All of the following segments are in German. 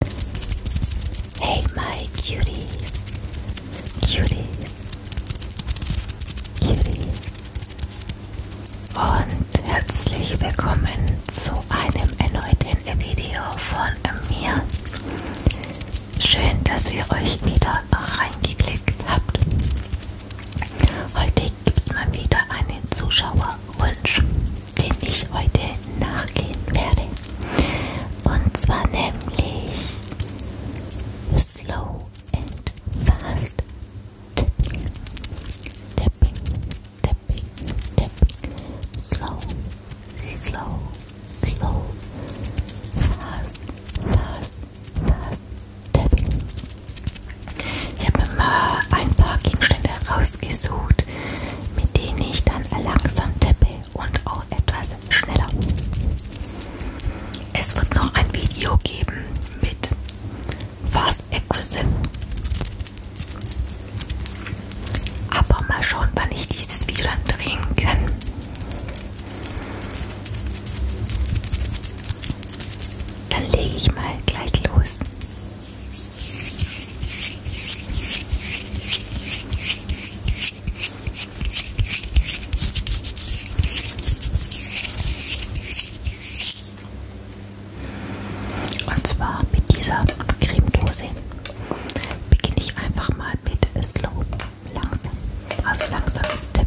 Hey, my cuties. Cuties. Cuties. Und herzlich willkommen zu einem erneuten Video von mir. Schön, dass ihr euch wieder reingeklickt habt. Heute gibt es mal wieder einen Zuschauerwunsch den ich heute nachgehen werde. Und zwar nämlich Slow and Fast Tipping. Tipping, Tipping, Tipping. Slow, Slow, Slow. Fast, Fast, Fast Tapping. Ich habe mir mal ein paar Gegenstände rausgesucht, mit denen ich dann langsam tippe schnell und auch etwas schneller. Es wird noch ein Video geben mit Fast Aggressive. Aber mal schauen, wann ich dieses Video dann drehen kann. Dann lege ich mal gleich los. Und zwar mit dieser Cremedose beginne ich einfach mal mit Slow, langsam, also langsam Step.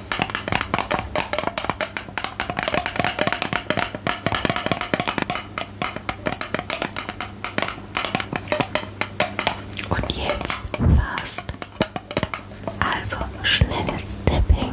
Und jetzt fast. Also schnelles Dipping.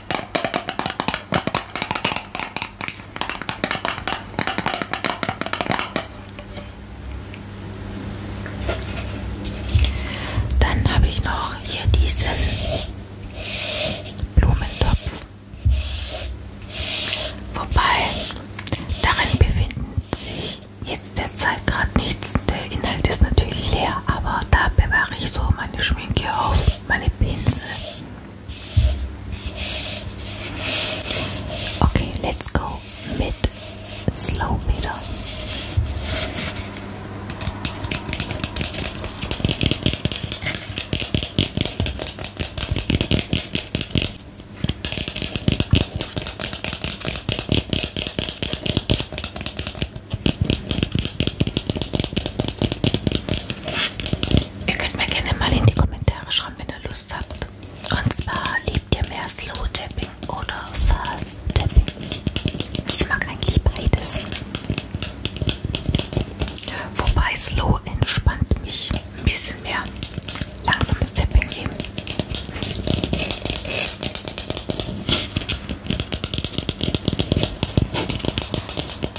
Dann habe ich noch hier diesen Blumentopf. Wobei, darin befinden sich jetzt derzeit gerade nichts. Der Inhalt ist natürlich leer, aber da bewahre ich so meine Schminke auf, meine Pinsel. Okay, let's go mid slow middle. Ihr könnt mir gerne mal in die Kommentare schreiben, wenn ihr Lust habt. Und zwar liebt ihr mehr Slow Tapping oder Fast Tapping? Ich mag eigentlich beides. Wobei Slow entspannt mich ein bisschen mehr. Langsames Tapping geben.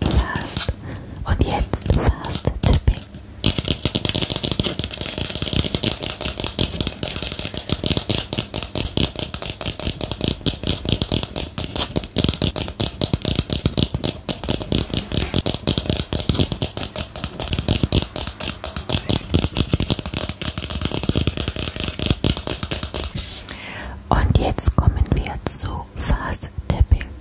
fast. Und jetzt fast tipping. Und jetzt kommen wir zu Fast Tipping.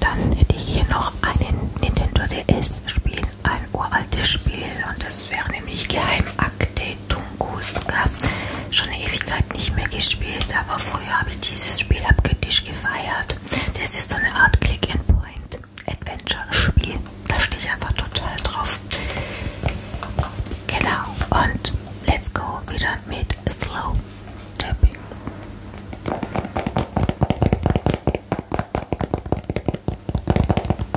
Dann hätte ich hier noch einen Nintendo DS-Spiel, ein uraltes Spiel und das wäre nämlich Geheimakte. Akte Tunguska. Schon eine Ewigkeit nicht mehr gespielt, aber früher habe ich dieses Spiel abgetisch gefeiert. Das ist so eine Art Click-and-Point-Adventure-Spiel. Da stehe ich einfach total drauf. Genau, und let's go wieder mit Slow Tapping.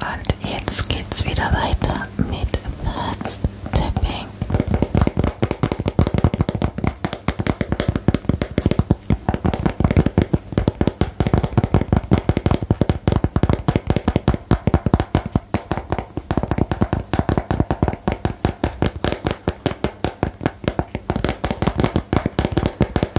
Und jetzt geht's wieder weiter mit Fast Tapping.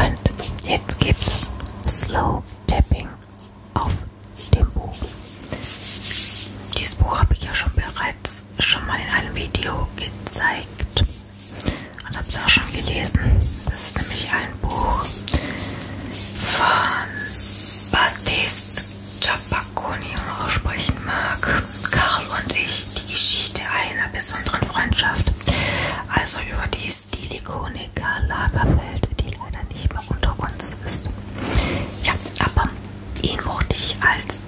And it keeps slow tapping auf dem Buch. Dieses Buch habe ich ja schon bereits schon mal in einem Video gezeigt und habe es auch schon gelesen. Das ist nämlich ein Buch von Baptiste Giappaconi, wenn man aussprechen mag. Karl und ich, die Geschichte einer besonderen Freundschaft. Also über die ist die Likonika Lagerfeld, die leider nicht mehr unter uns ist. Ja, aber ihn mochte ich als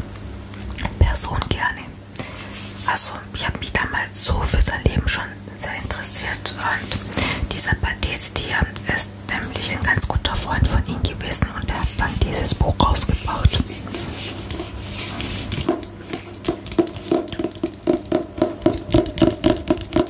Person gerne. Also ich habe mich damals so für sein Leben schon sehr interessiert und dieser Batiste hier ist nämlich ein ganz guter Freund von ihm gewesen und er hat dann dieses Buch rausgebaut.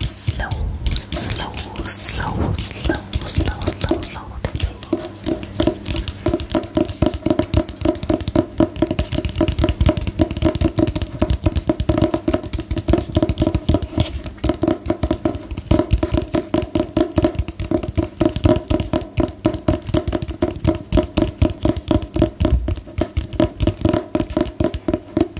slow, slow, slow, slow, slow, slow, slow tapping. Slow,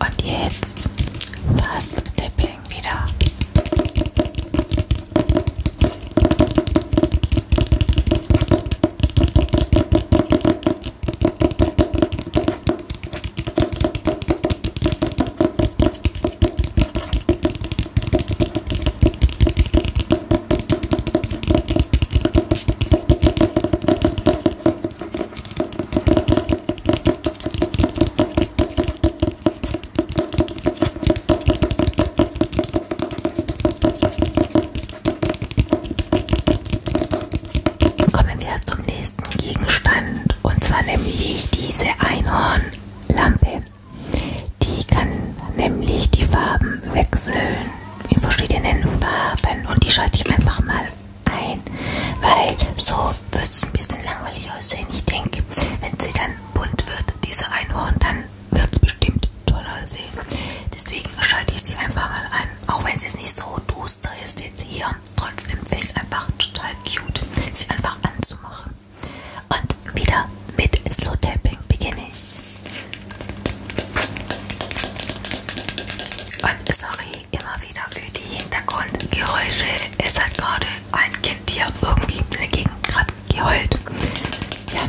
Und jetzt Fast Tipping wieder. Kommen wir zum nächsten Gegenstand und zwar nämlich diese Einhornlampe. Die kann nämlich die Farben wechseln in verschiedenen Farben und die schalte ich einfach mal ein, weil so wird es ein bisschen langweilig aussehen. Ich denke, wenn sie dann bunt wird, diese Einhorn, dann wird es bestimmt toll aussehen. Deswegen schalte ich sie einfach mal an, auch wenn es jetzt nicht so duster ist jetzt hier. Trotzdem finde ich es einfach total cute, sie einfach anzumachen. Und wieder mit Slow Tapping beginne ich. Und sorry immer wieder für die Hintergrundgeräusche. Es hat gerade ein Kind hier irgendwie in der Gegend gerade geheult. Ja.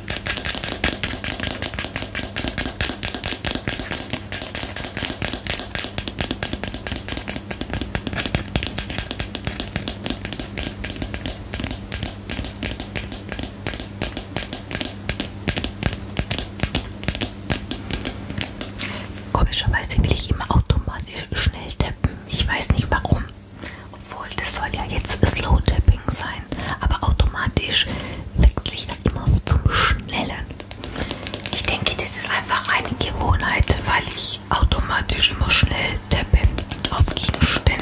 Komischerweise will ich immer automatisch schnell tippen. Ich weiß nicht warum. Obwohl, das soll ja jetzt Slow Tapping sein, aber automatisch wechsle ich dann immer zum Schnellen. Ich denke, das ist einfach eine Gewohnheit, weil ich automatisch immer schnell tappe auf Gegenständen.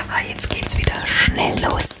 Aber jetzt geht's wieder schnell los.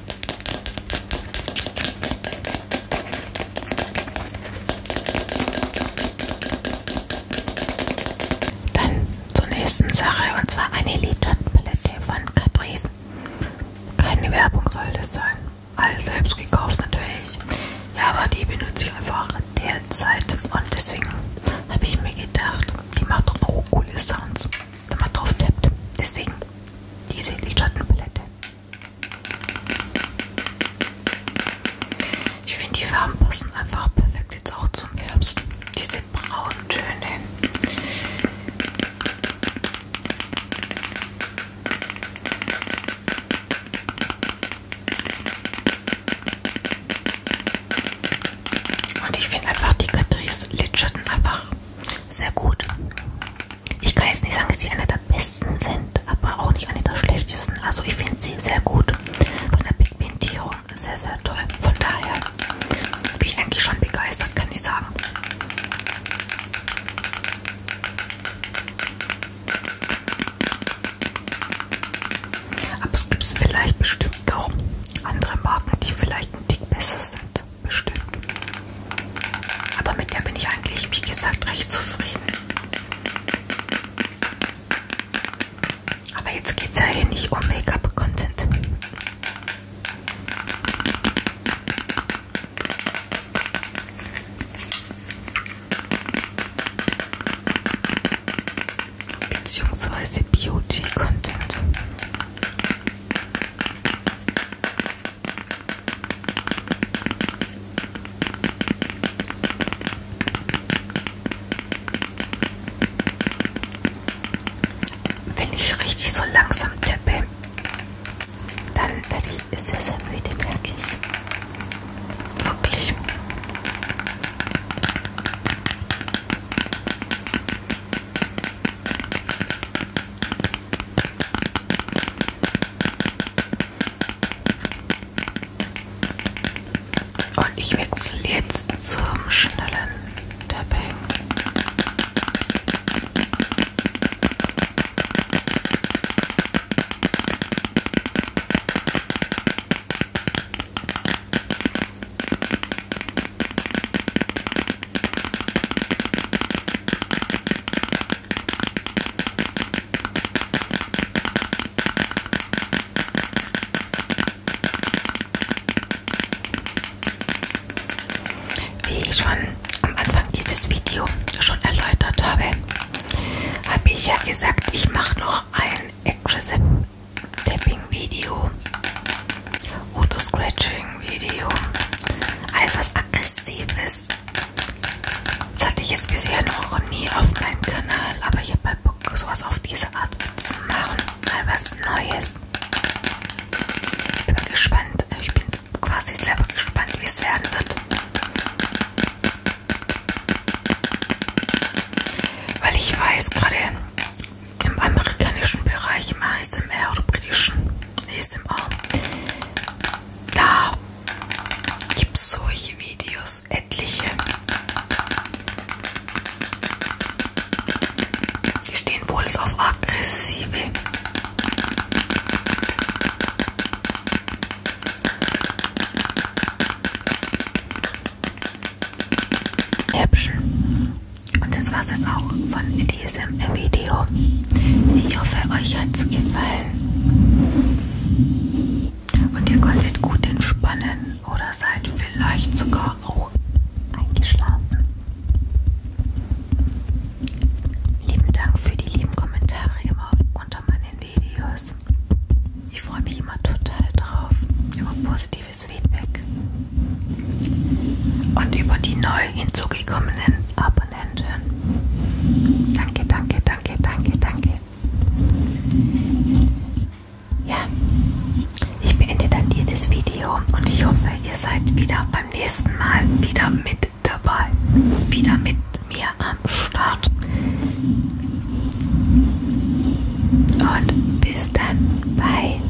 Dann zur nächsten Sache und zwar eine Lidschattenpalette von Catrice. Keine Werbung soll das sein. Alles selbst gekauft natürlich. Ja, aber die benutze ich einfach derzeit und deswegen habe ich mir gedacht, die macht doch noch coole Sounds wenn man drauf tippt. Deswegen diese Lidschattenpalette. Ich finde die Farben passen einfach perfekt jetzt auch zum Herbst. Diese braunen Töne. Und ich finde einfach, die Catrice Lidschatten einfach sehr gut. Ich kann jetzt nicht sagen, dass sie eine der besten sind, aber auch nicht eine der schlechtesten. Also ich finde sie sehr gut. Von der Pigmentierung sehr, sehr toll. Von daher bin ich eigentlich schon begeistert, kann ich sagen. Aber es gibt vielleicht bestimmt auch andere Marken, die vielleicht ein Tick besser sind bestimmt. Aber mit der bin ich eigentlich, wie gesagt, recht zufrieden. Aber jetzt geht es ja hier nicht um Make-up-Content. Beziehungsweise Beauty-Content. Wenn ich richtig so langsam tippe, dann werde ich sehr, sehr müde, merke ich. Wirklich. Und ich wechsle jetzt zum schnellen Tapping. Wie ich schon am Anfang dieses Videos schon erläutert habe, habe ich ja gesagt, ich mache noch ein Aggressive Tapping Video Auto-Scratching-Video. Alles, was aggressiv ist. Das hatte ich jetzt bisher noch nie auf meinem Kanal, aber ich habe mal halt Bock, sowas auf diese Art zu machen. Mal was Neues. Ich bin gespannt. Ich bin quasi selber gespannt, wie es werden wird. Weil ich weiß, gerade im amerikanischen Bereich, im ASMR oder britischen ASMR, da gibt es solche Videos, etliche. Die stehen wohl auf aggressive. Häppchen. Und das war es jetzt auch von diesem Video. Ich hoffe, euch hat es gefallen. Und ihr konntet gut entspannen oder seid vielleicht sogar auch eingeschlafen. Lieben Dank für die lieben Kommentare immer unter meinen Videos. Ich freue mich immer total drauf, über positive positives Feedback. Und über die neu hinzugekommenen Abonnenten. Danke, danke, danke, danke, danke. Ja, ich beende dann dieses Video und ich hoffe, ihr seid wieder beim nächsten Mal wieder mit dabei. Wieder mit mir am Start. Und bis dann. Bye.